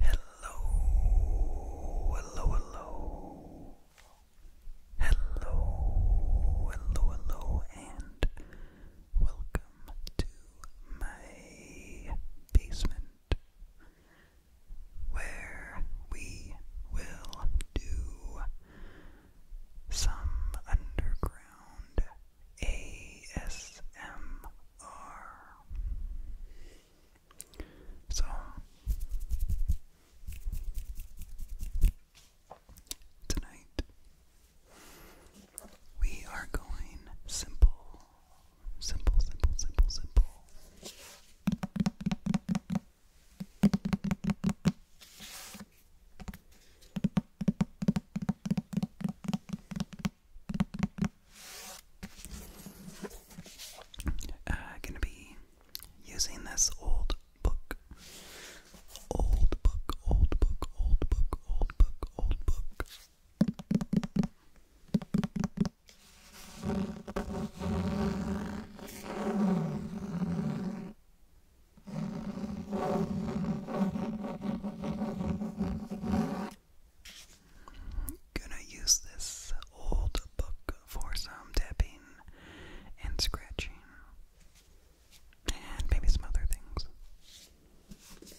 Hello, hello, hello, hello, hello, hello, and welcome to my basement where we will do some underground ASMR. So, tonight we are going simple Simple, simple, simple, simple. Uh, gonna be using this old book, old book, old book, old book, old book, old book. Gonna use this old book for some tapping and scratching and maybe some other things.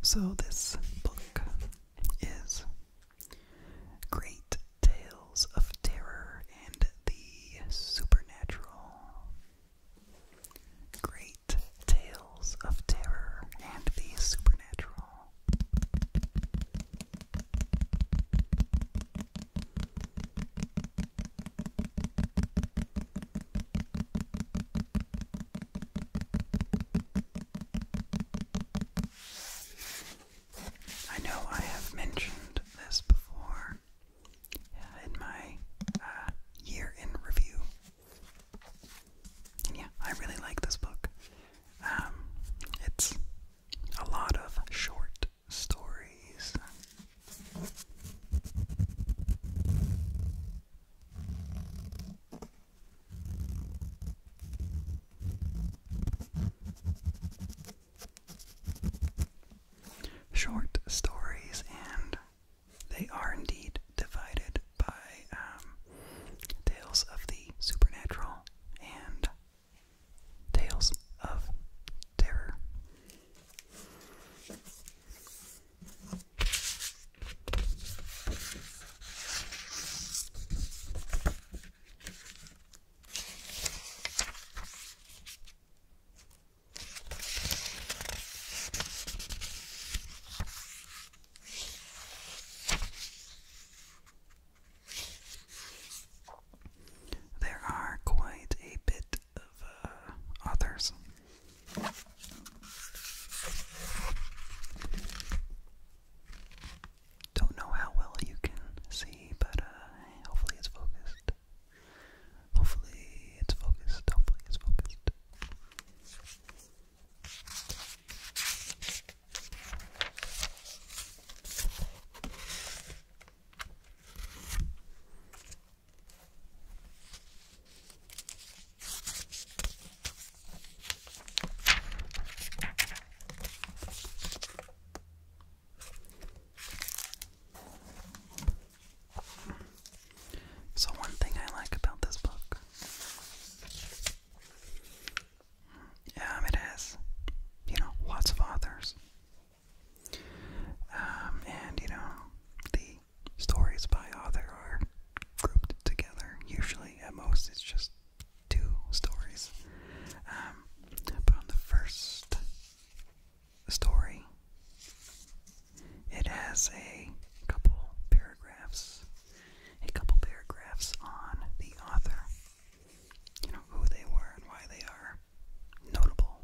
So, this book is Great Tales of Terror and the Supernatural. Great Tales of Terror and the Supernatural. I know I have mentioned this before uh, in my uh, year in review. And yeah, I really like this book. Um, it's a lot of short stories. Short stories, and they are indeed divided by um, tales of the supernatural and Tales of Terror. There are quite a bit of authors. Uh, Don't know how well you can see, but uh, hopefully it's focused. Hopefully it's focused. Hopefully it's focused. So, one thing I like about this book um, it has, you know, lots of authors. Um, and, you know, the stories by author are grouped together. Usually, at most, it's just two stories. Um, but on the first story, it has a couple paragraphs, a couple paragraphs on the author you know, who they were and why they are notable.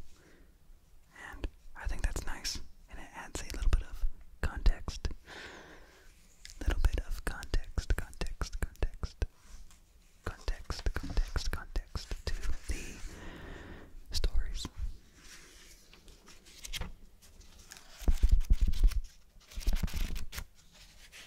And I think that's nice. And it adds a little bit of context. Little bit of context, context, context. Context, context, context to the stories.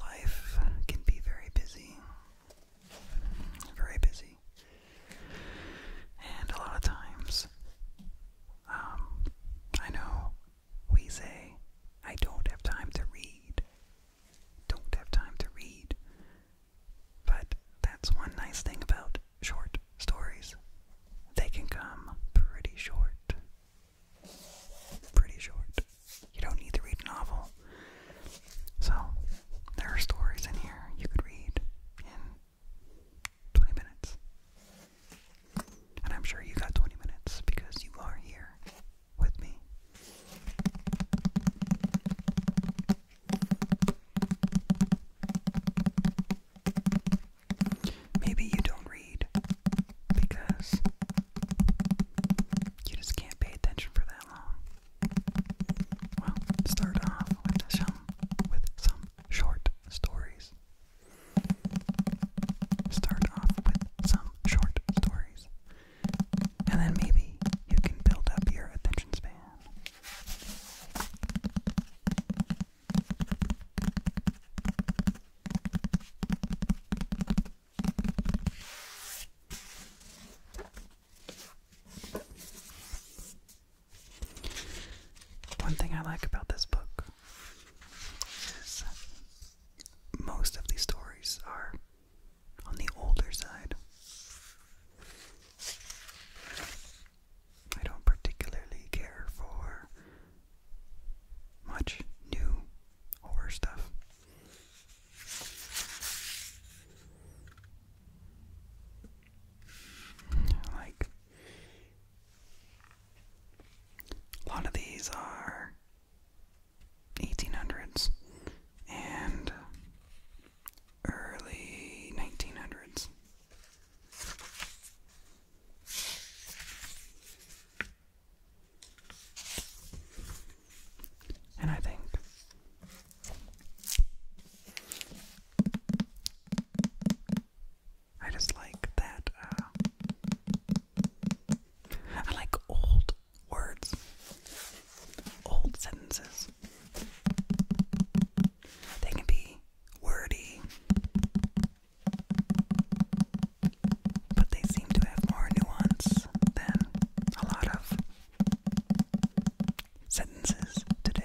Life can be very busy, very busy, and a lot of times, um, I know we say, I don't have time to read, don't have time to read. But that's one nice thing about short stories. They can come pretty short. Pretty short. You don't need to read a novel. So, there are stories in here you could read in 20 minutes. And I'm sure you got 20 minutes because you are here with me. Maybe you don't read because you just can't pay attention for that long. Well, start off with some with some short stories. Start off with some short stories and then maybe you can build up your attention span. One thing I like about this book is most of these stories are on the older side. I don't particularly care for much new horror stuff. Like, a lot of these are 1800s and early 1900s. And I think I just like that. Uh, I like old words, old sentences. They can be wordy, but they seem to have more nuance than a lot of sentences today.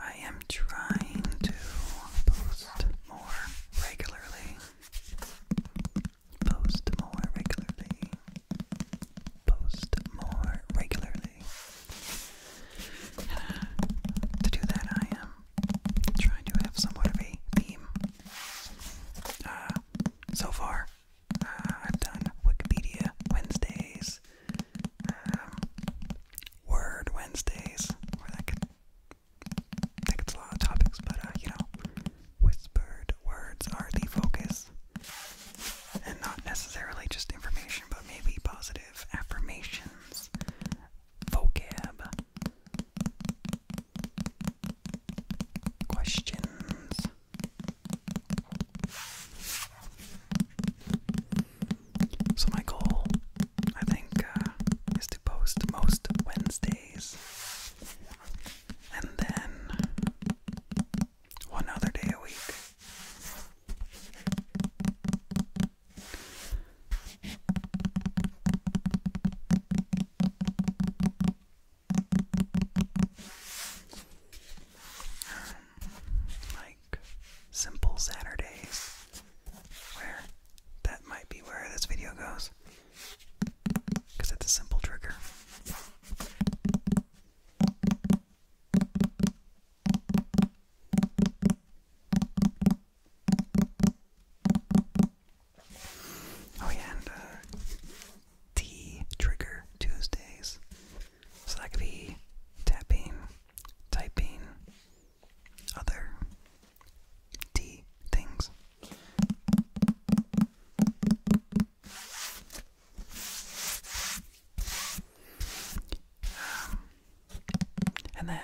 I am trying to post more regularly. Post more regularly. Post more regularly. To do that, I am trying to have somewhat of a theme. Uh, so far, uh, I've done Wikipedia Wednesdays, um, Word Wednesdays, where that could a lot of topics, but uh, you know, whispered words are the focus, and not necessarily just information, but maybe positive affirmations, vocab, questions. So, my goal, I think, uh, is to post most Wednesdays. And then one other day a week. Um, simple Saturdays where that might be where this video goes because it's a simple trigger. Oh yeah, and uh, trigger Tuesdays. So that could be tapping, typing, other D things. Um, and then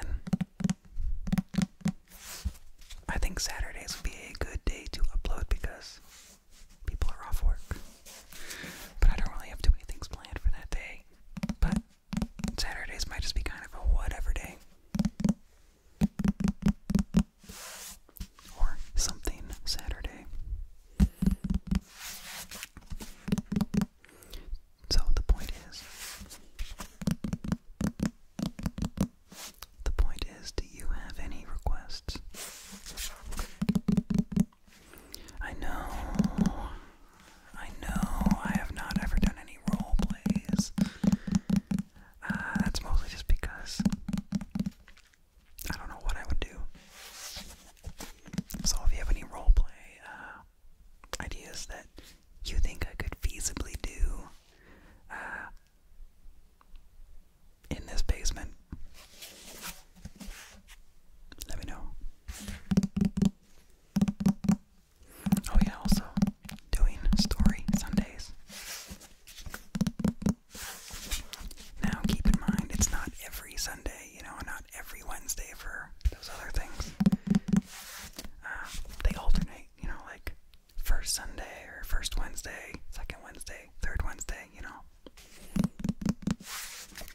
I think Saturdays would be a good day to upload because people are off work. But I don't really have too many things planned for that day. But Saturdays might just be kind of a whatever day. Or something Saturday. So the point is the point is do you have any requests? I know. I know. I have not ever done any role plays. Uh, that's mostly just because I don't know what I would do. So if you have any role play uh, ideas that you think I could feasibly do uh, in this basement, let me know. Oh, yeah, also doing story Sundays. Now, keep in mind, it's not every Sunday, you know, not every Wednesday for those other things. Um, they alternate, you know, like first Sunday or first Wednesday, second Wednesday, third Wednesday, you know.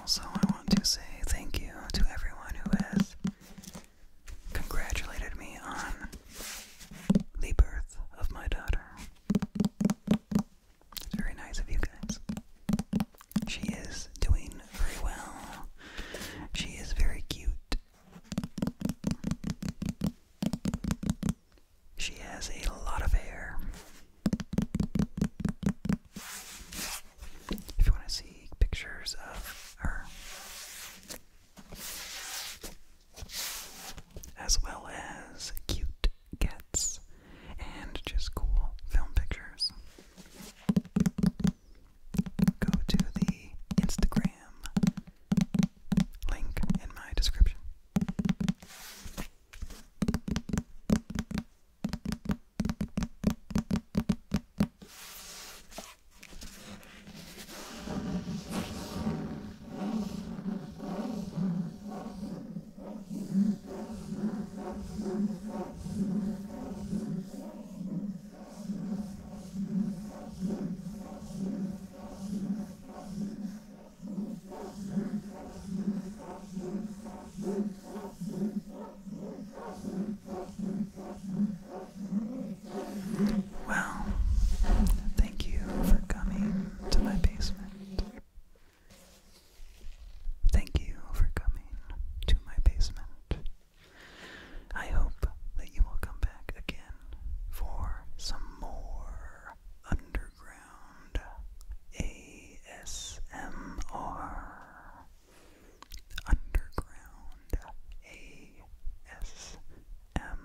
Also, I want to say thank you to everyone who has congratulated me on the birth of my daughter. It's very nice of you guys. She is doing very well. She is very cute she has a lot of hair. If you want to see pictures of her, as well as cute cats and just cool film pictures, go to the Instagram link in my description. Well, thank you for coming to my basement. Thank you for coming to my basement. I hope that you will come back again for some more underground ASMR. Underground ASMR.